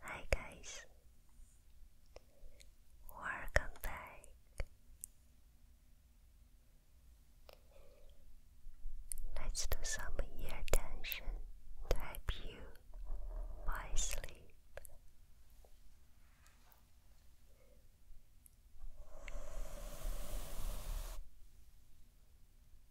Hi guys, welcome back. Let's do some ear tension to help you by sleep.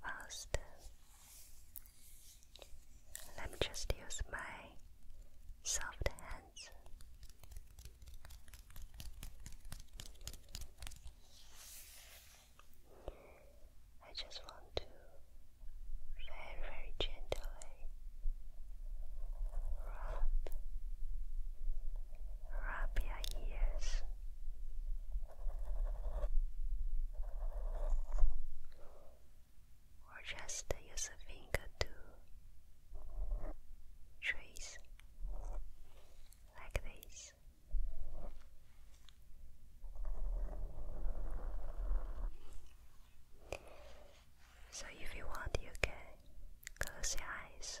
First, let me just use my soft hands. I just want to very, very gently rub rub your ears. Or just use a finger to trace like this. So, if you want, you can close your eyes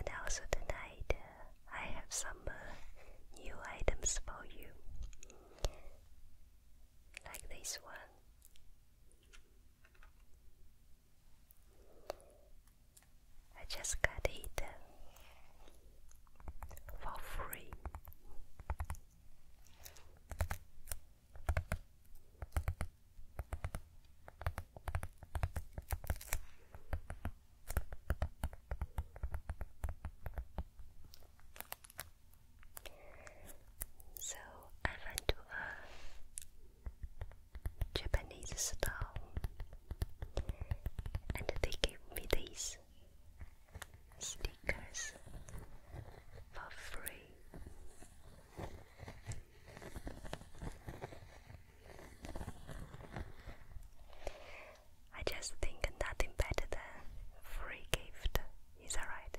And also tonight, uh, I have some uh, new items for you, like this one. I just got it for free. So I went to a Japanese style, and they gave me these stickers for free. I just think nothing better than free gift. Is alright.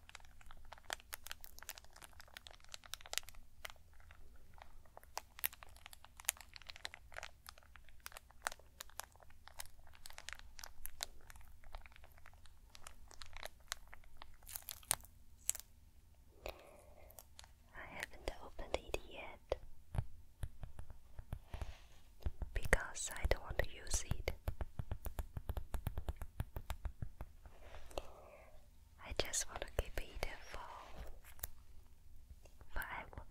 I haven't opened it yet because I don't want to use it I just want to keep it for forever.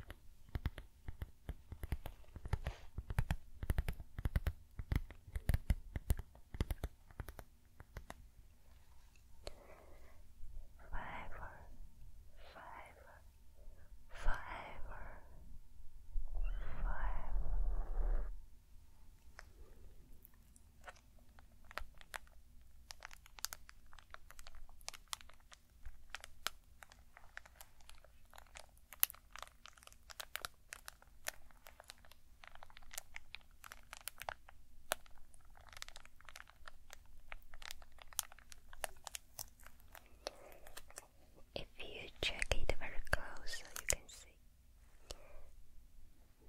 Forever, forever, forever, if you check it very close, you can see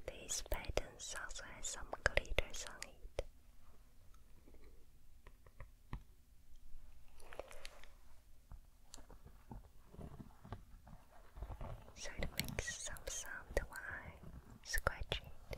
these patterns also has some glitter on it. So it makes some sound while scratching it.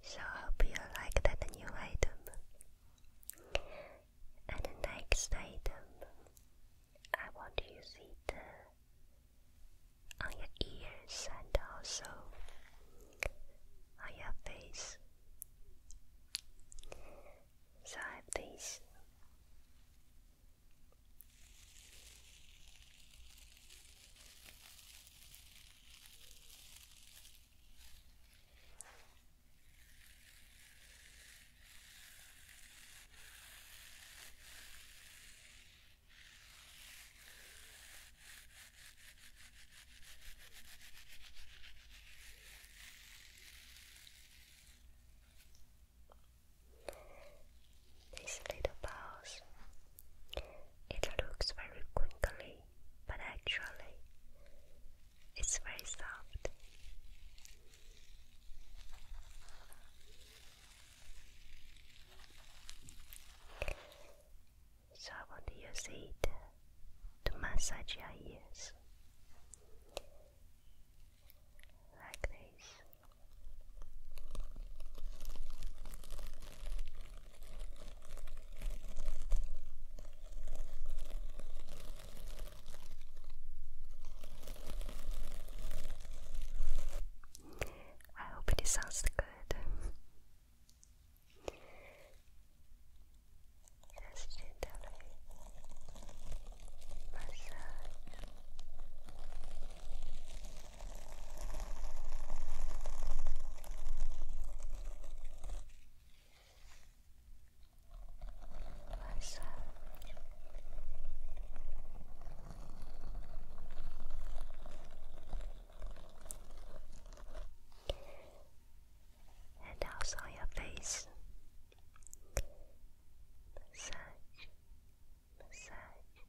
So I hope you like that new item. And the next item, I want you to use it on your ears and also on your face. So I have this. These little balls, it looks very quickly but actually, it's very soft. So, I want to use it to massage your ears like this. I hope it sounds good. Just gently massage Massage. And also your face. Massage. Massage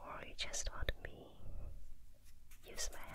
Or you just want me use my hands.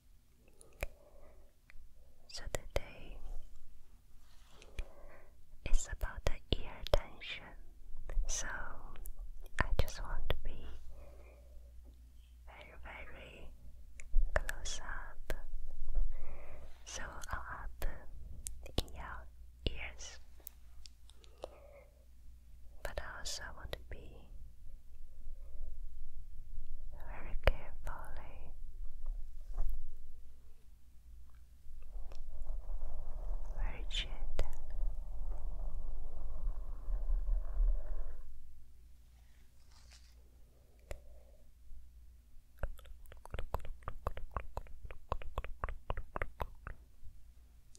So today it's about the ear tension. So I just want to be very, very close up. So up in your ears but I also want to be very carefully eh? very gentle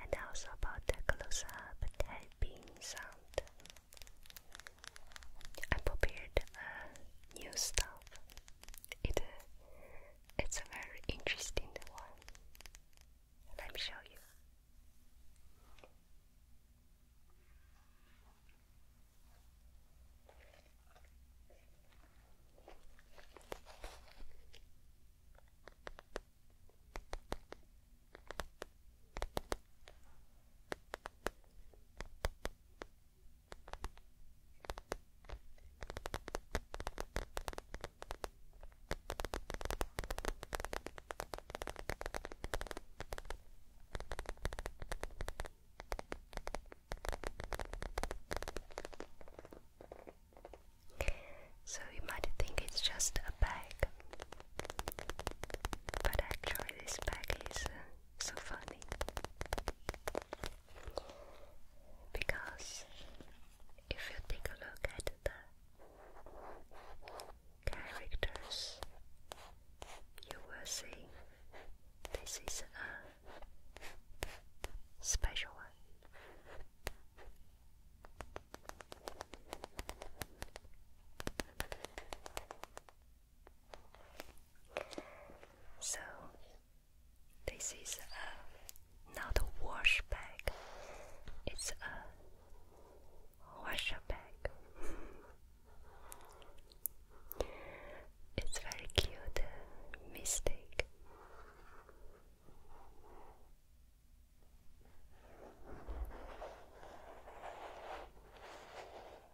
And also about the close up tapping sound. I prepared uh, new stuff. It uh, it's a very interesting one. Let me show you. So you might think it's just a bag, but actually, this bag is uh, so funny because if you take a look at the characters, you will see this is a special one. So, this is a not a wash bag, it's a washer bag. it's very cute uh, mistake.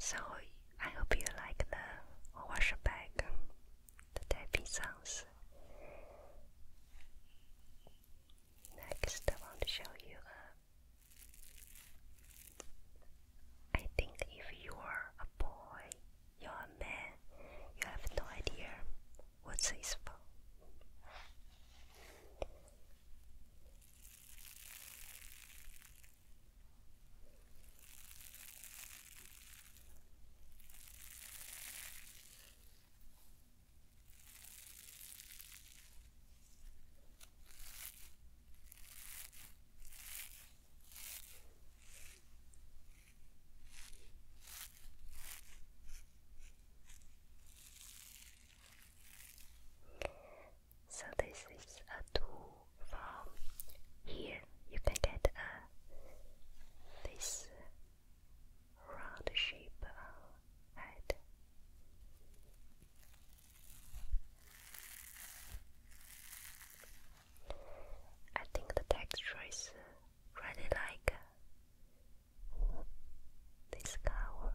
So I hope you like the wash bag, the tapping sounds. Next, I want to show you. A, uh, I think if you are a boy, you're a man. You have no idea what's his fault. So this is a tool from here. You can get a this round shape head. Uh, I think the texture is really like this color.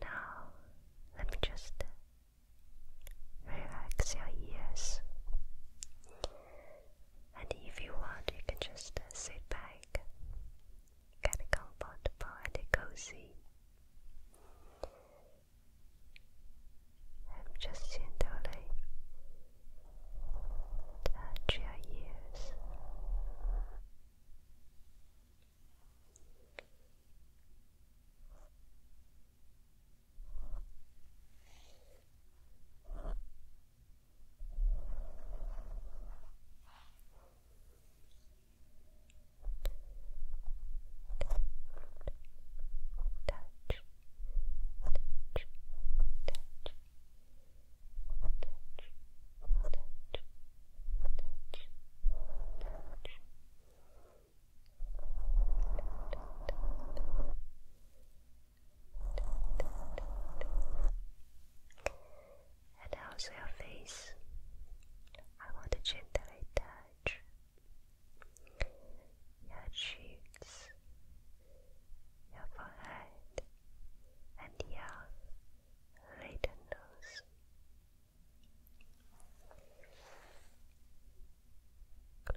Now, let me just relax your ears. And if you want, you can just sit back, and get comfortable and cozy. I'm just gently Touch your ears. Touch, touch, touch, and also your face. I want to gently touch your cheeks, your forehead, and yeah, later nose. Good,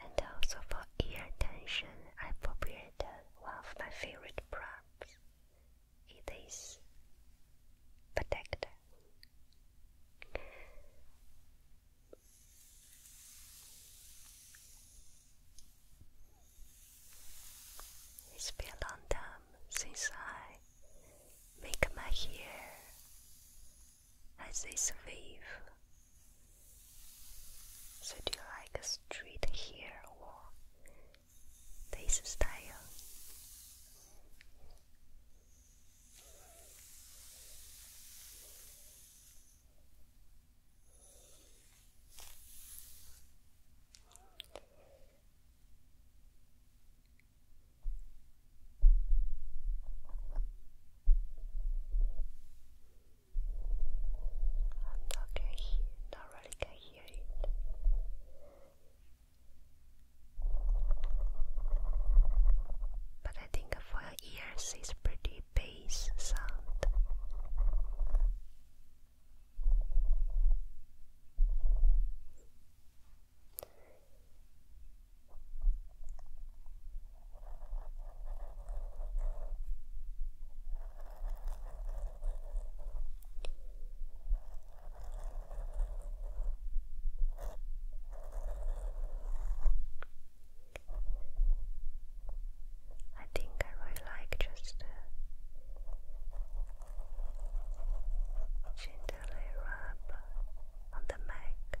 And also for ear tension, I prepared one of my favorite props. It is protector. It's been a long time since I make my hair as this wave. So do you like straight hair or this style? I'm not really can hear it. But I think for your ears it's pretty bass sound. I think I really like just uh, Gently rub on the neck.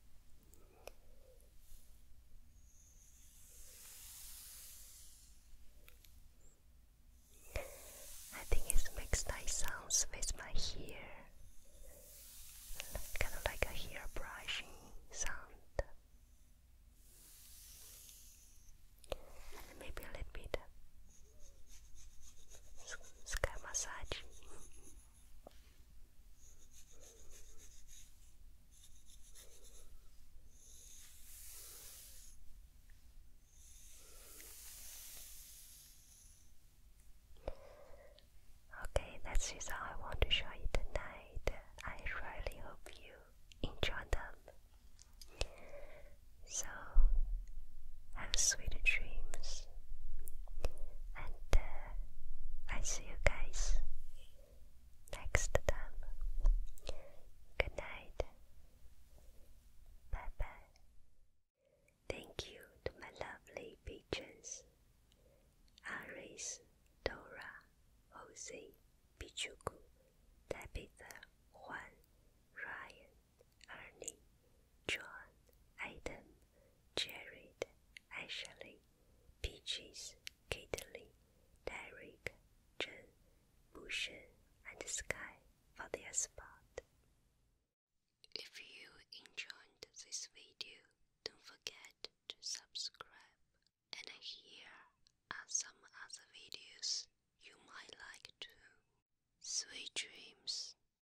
I think it makes nice sounds with my hair, kind of like a hair brushing sound, maybe a little bit sky massage. Okay, that is all I want to show you tonight. I really hope you enjoy them. So, have sweet dreams. And uh, I see you guys next time. Good night. Bye bye. Thank you to my lovely patrons Aris, Dora, Jose, Pichuku, Tabitha, Juan, Ryan, Ernie, John, Adam, Jared, Ashley, Peaches, Caitlin, Derek, Jen, Bushen, and Sky for their support. If you enjoyed this video, don't forget to subscribe. And here are some other videos you might like too. Sweet dreams.